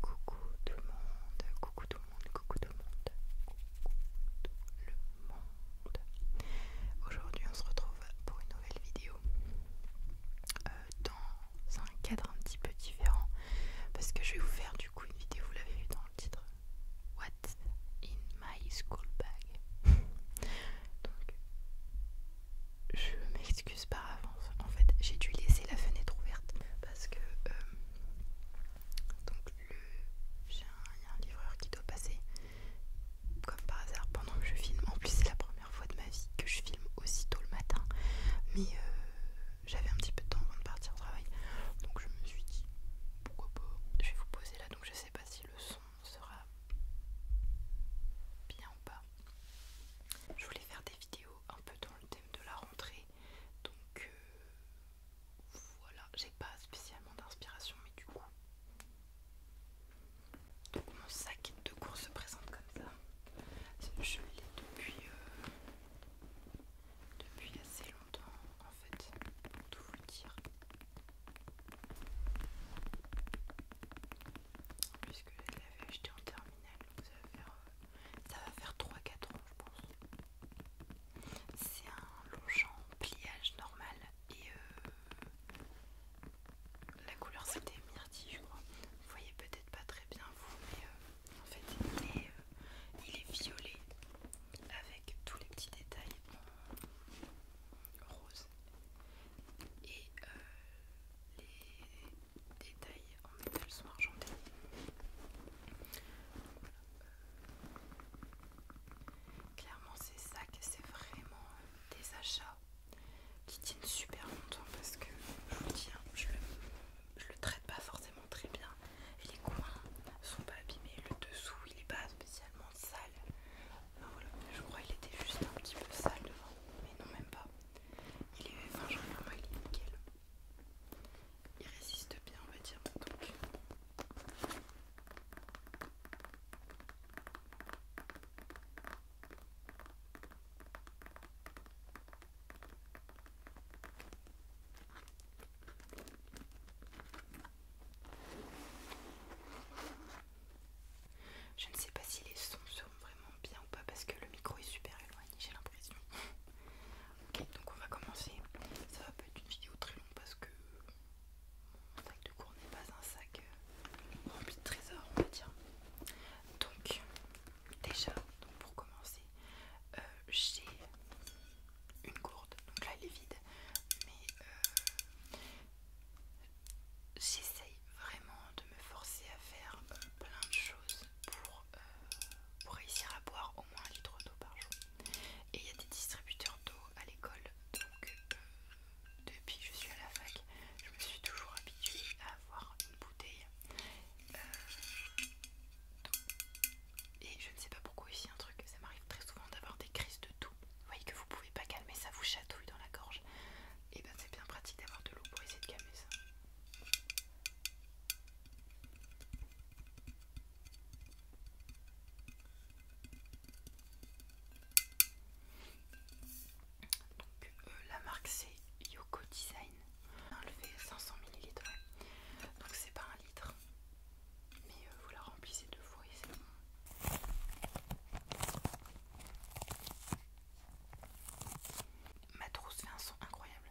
Coucou tout le monde, coucou tout le monde, coucou tout le monde, coucou tout le monde. Aujourd'hui on se retrouve pour une nouvelle vidéo euh, dans un cadre un petit peu différent parce que je vais vous faire du coup une vidéo, vous l'avez vu dans le titre, What's in my school bag. je m'excuse par avance. En fait, j'ai dû laisser la fenêtre ouverte parce que euh, donc j'ai un, y a un livreur qui doit passer comme par hasard pendant que je filme. En plus, c'est la première fois de ma vie que je filme aussi tôt le matin, mais euh, j'avais un petit peu de temps avant de partir au travail, donc je me suis dit pourquoi pas. Je vais vous poser là, donc je sais pas si le son sera bien ou pas. Je voulais faire des vidéo vidéos un peu dans le thème de la rentrée. Donc euh, voilà, j'ai pas spécialement d'inspiration, mais du coup. Donc mon sac de cours se présente comme ça. Je l'ai depuis, euh, depuis assez longtemps en fait, pour tout vous dire. Puisque je l'avais acheté en ça va faire, 3-4 euh, ans, je pense. C'est un long champ pliage normal et euh, la couleur c'était myrtille, je crois. Vous voyez peut-être pas très bien vous, mais euh, en fait il est, violet avec tous les petits détails en rose et les détails en métal sont argentés. clairement, ces sacs, c'est vraiment des achats qui tiennent super longtemps parce que je vous dis, hein, je, le, traite pas forcément très bien les coins sont pas abîmés, le dessous il est pas spécialement sale. je crois qu'il était juste un petit peu sale devant, mais non, même pas. Il est fin jambon, il nickel. Il résiste bien, on va dire. Donc. Je ne sais pas si les sons sont vraiment bien ou pas parce que le micro est super éloigné, j'ai l'impression. ok, donc on va commencer. Ça va pas être une vidéo très longue parce que mon sac de cours n'est pas un sac euh, rempli de trésors, on va dire. Donc, déjà, pour commencer, euh, j'ai une gourde. Donc là, elle est vide, mais euh, j'essaye vraiment de me forcer à faire euh, plein de choses euh, pour, réussir à boire au moins un litre d'eau par jour. Et il y a des distributeurs d'eau à l'école, donc euh, depuis que je suis à la fac, je me suis toujours habituée à avoir une bouteille Et je ne sais pas pourquoi ici un truc, ça m'arrive très souvent d'avoir des crises de toux. Vous voyez que vous pouvez pas calmer, ça vous chatouille dans la gorge et eh ben c'est bien pratique d'avoir de l'eau pour essayer de calmer ça. Donc euh, la marque c'est Yoko Design. le 500 ml. Donc c'est pas un litre. Mais euh, vous la remplissez deux fois Ma trousse fait un son incroyable.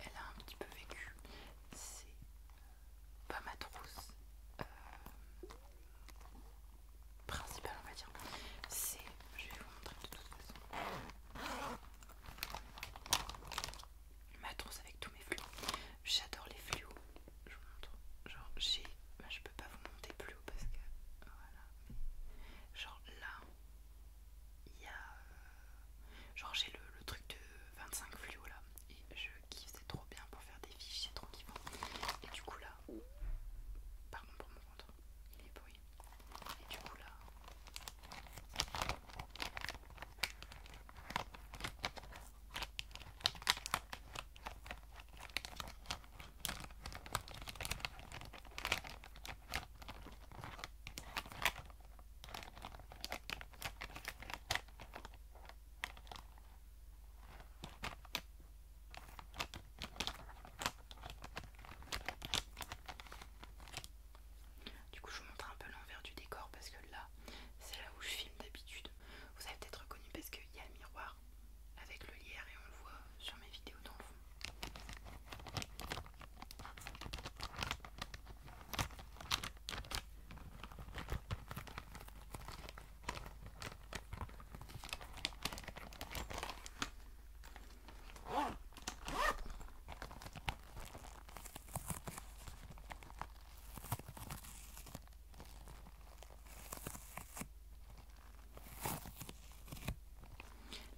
elle a un petit peu vécu, c'est euh, pas ma trousse euh, principale, on va dire. C'est, je vais vous montrer de toute façon, ma trousse avec tout. J'adore les fluos. Je vous montre. Genre, j'ai. Bah, je peux pas vous monter plus haut parce que. Voilà. Genre là, il y a. Euh, genre, j'ai le, le truc de 25 fluos là. Et je kiffe, c'est trop bien pour faire des fiches, c'est trop kiffant. Et du coup là. Pardon pour mon ventre, il est bruit. Et du coup là. Du coup, je vous montre un peu l'envers du décor parce que là, c'est là où je filme d'habitude. Vous avez peut-être reconnu parce qu'il y a le miroir avec le lierre et on le voit sur mes vidéos d'enfants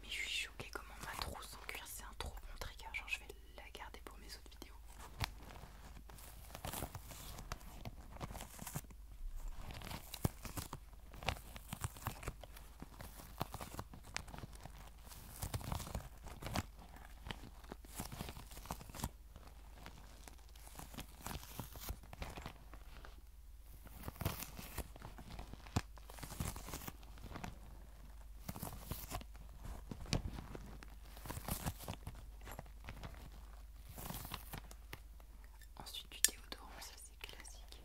mais je suis choquée comment ma trousse en cuir c'est un trop bon trigger, genre je vais la garder pour mes autres vidéos. Ensuite du déodorant, ça c'est classique.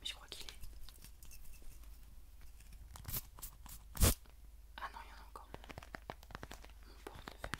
Mais je crois qu'il est. Ah non, il y en a encore. Mon portefeuille.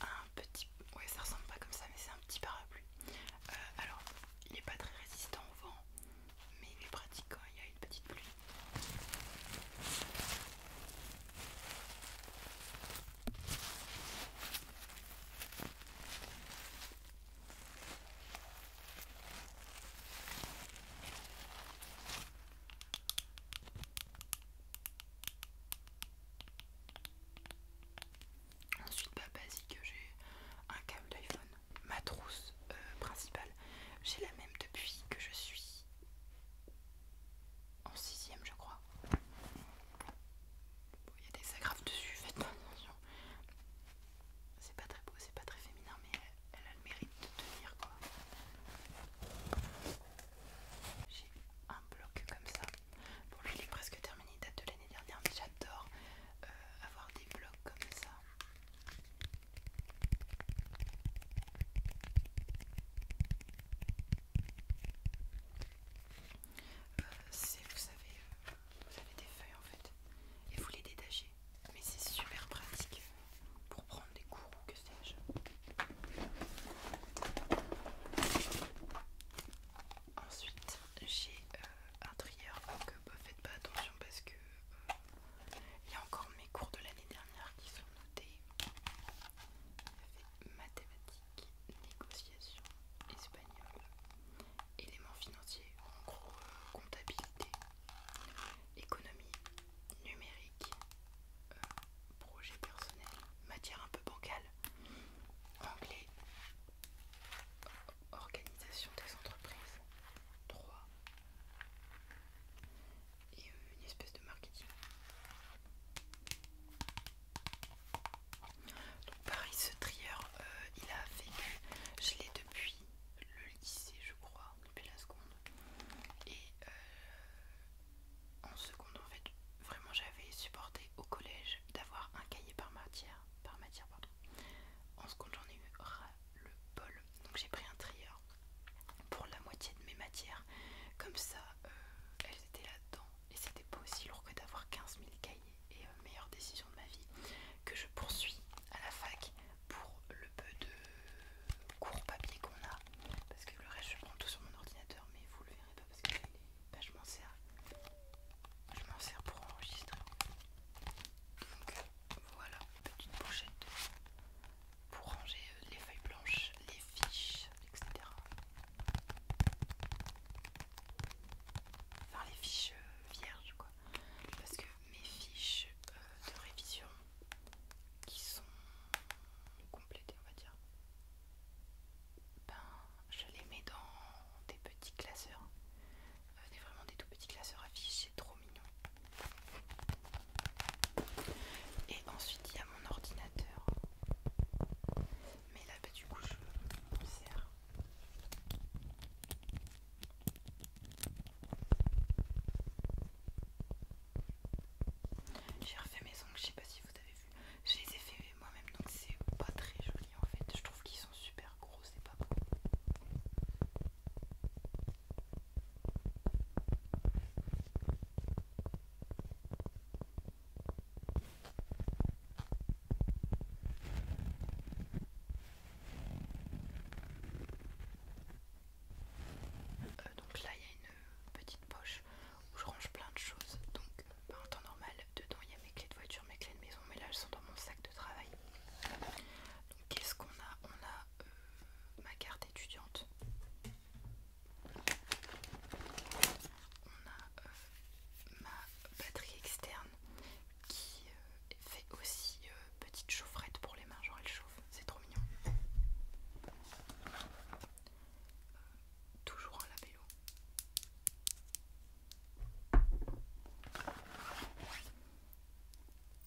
Un petit... Ouais ça ressemble pas comme ça mais c'est un petit parapluie. Euh, alors il est pas très résistant au vent mais il est pratique quand hein, il y a une petite pluie. Ensuite, pas bah, basique, j'ai un câble d'iPhone, ma trousse euh, principale. J'ai la même depuis que je suis en sixième, je crois. Il y a des agrafes dessus, faites attention. C'est pas très beau, c'est pas très féminin, mais elle, a le mérite de tenir quoi. J'ai un bloc comme ça. Bon, lui il est presque terminé, il date de l'année dernière, mais j'adore euh, avoir des blocs comme ça. Euh, c'est, vous savez, euh, vous avez des feuilles en fait et vous les détachez mais c'est super pratique pour prendre des cours ou que sais-je ensuite j'ai euh, un trieur. donc ne euh, bah, faites pas attention parce que euh, il y a encore mes cours de l'année dernière qui sont notés mathématiques, négociation, espagnol éléments financiers, en gros euh, comptabilité, économie, numérique, euh, projet personnel, matière un peu bancale, anglais, organisation des entreprises, 3 et euh, une espèce de marketing. Donc pareil ce trieur, euh, il a fait je l'ai depuis le lycée je crois depuis la seconde et euh, en seconde en fait vraiment j'avais supporté au collège d'avoir un cahier par matière par matière pardon en seconde j'en ai eu le bol donc j'ai pris un trieur pour la moitié de mes matières comme ça euh, elles étaient là dedans et c'était pas aussi lourd que d'avoir 15 000 cahiers et euh, meilleure décision de ma vie que je poursuis à la fac pour le peu de cours papier qu'on a parce que le reste je prends tout sur mon ordinateur mais vous le verrez pas parce que je m'en sers je m'en sers pour enregistrer donc euh, voilà petite pochette pour ranger euh, les feuilles blanches les fiches etc Enfin les fiches vierge quoi parce que mes fiches euh, de révision qui sont complétées on va dire ben je les mets dans des petits classeurs vraiment des tout petits classeurs à fiches c'est trop mignon et ensuite il y a mon ordinateur mais là bah, du coup je m'en sers j'ai refait mes ongles, je sais pas si vous avez vu je les ai fait moi-même donc c'est pas très joli en fait je trouve qu'ils sont super gros c'est pas beau euh, donc là il y a une petite poche où je range plein de choses. Donc bah, en temps normal dedans il y a mes clés de voiture, mes clés de maison, mais là elles sont dans mon sac de travail. Donc qu'est-ce qu'on a On a euh, ma carte étudiante. On a euh, ma batterie externe qui euh, fait aussi euh, petite chaufferette pour les mains, genre elle chauffe, c'est trop mignon. toujours un labello.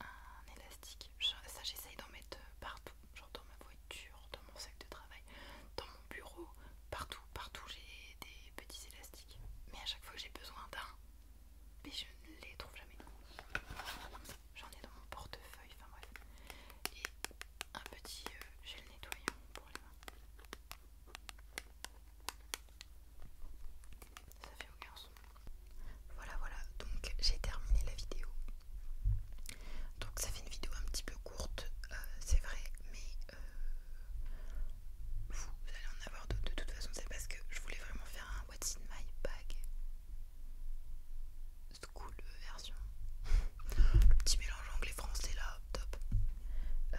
Un élastique, ça j'essaye d'en mettre partout, genre dans ma voiture, dans mon sac de travail, dans bureau, partout, partout j'ai des petits élastiques. Mais à chaque fois j'ai besoin d'un, mais je ne les trouve jamais. J'en ai dans mon portefeuille, enfin bref. Et un petit euh, gel nettoyant pour les mains. Ça fait aucun son. Voilà, voilà, donc j'ai terminé la vidéo. Donc ça fait une vidéo un petit peu courte, euh, c'est vrai, mais euh, vous, allez en avoir d'autres. De toute façon, c'est parce que je voulais vraiment faire un What's in my bag cool version. Le petit mélange anglais-français là, top. Euh,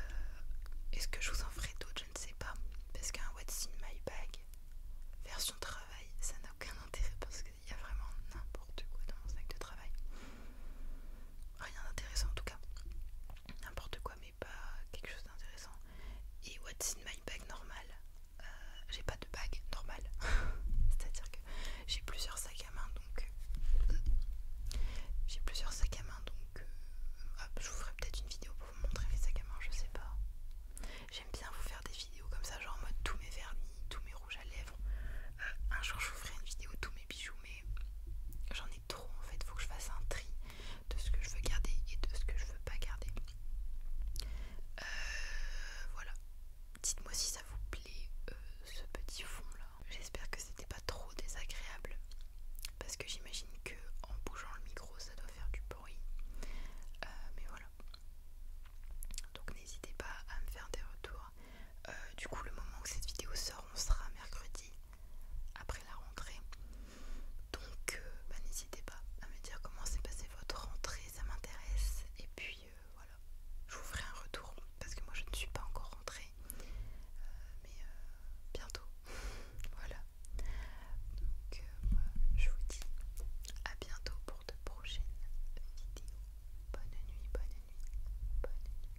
est-ce que je vous en ferai d'autres Je ne sais pas. Parce qu'un What's in my bag version travail, ça n'a aucun intérêt parce qu'il y a vraiment n'importe quoi dans mon sac de travail. Rien d'intéressant en tout cas n'importe quoi mais pas quelque chose d'intéressant et what's in my bag normal euh, j'ai pas de bag normal c'est à dire que j'ai plusieurs sacs à main donc euh, j'ai plusieurs sacs à main donc euh, je vous ferai peut-être une vidéo pour vous montrer mes sacs à main je sais pas j'aime bien vous faire des vidéos comme ça genre en mode tous mes vernis tous mes rouges à lèvres un jour je vous ferai une vidéo tous mes bijoux mais j'en ai trop en fait. Faut que je fasse un tri de ce que je veux garder et de ce que je veux pas garder. Euh, voilà. Dites-moi si ça vous plaît euh, ce petit fond là. J'espère que c'était pas trop désagréable parce que j'imagine que en bougeant le micro ça doit faire du bruit. Euh, mais voilà. Donc n'hésitez pas à me faire des retours. du coup, le moment où cette vidéo sort, on sera mercredi après la rentrée. Donc euh, bah, n'hésitez pas à me dire comment s'est passé votre rentrée, ça m'intéresse. Et puis euh, voilà, je vous ferai un retour parce que moi je ne suis pas encore rentrée. Euh, mais bientôt. voilà. Donc je vous dis à bientôt pour de prochaines vidéos. Bonne nuit, bonne nuit, bonne nuit.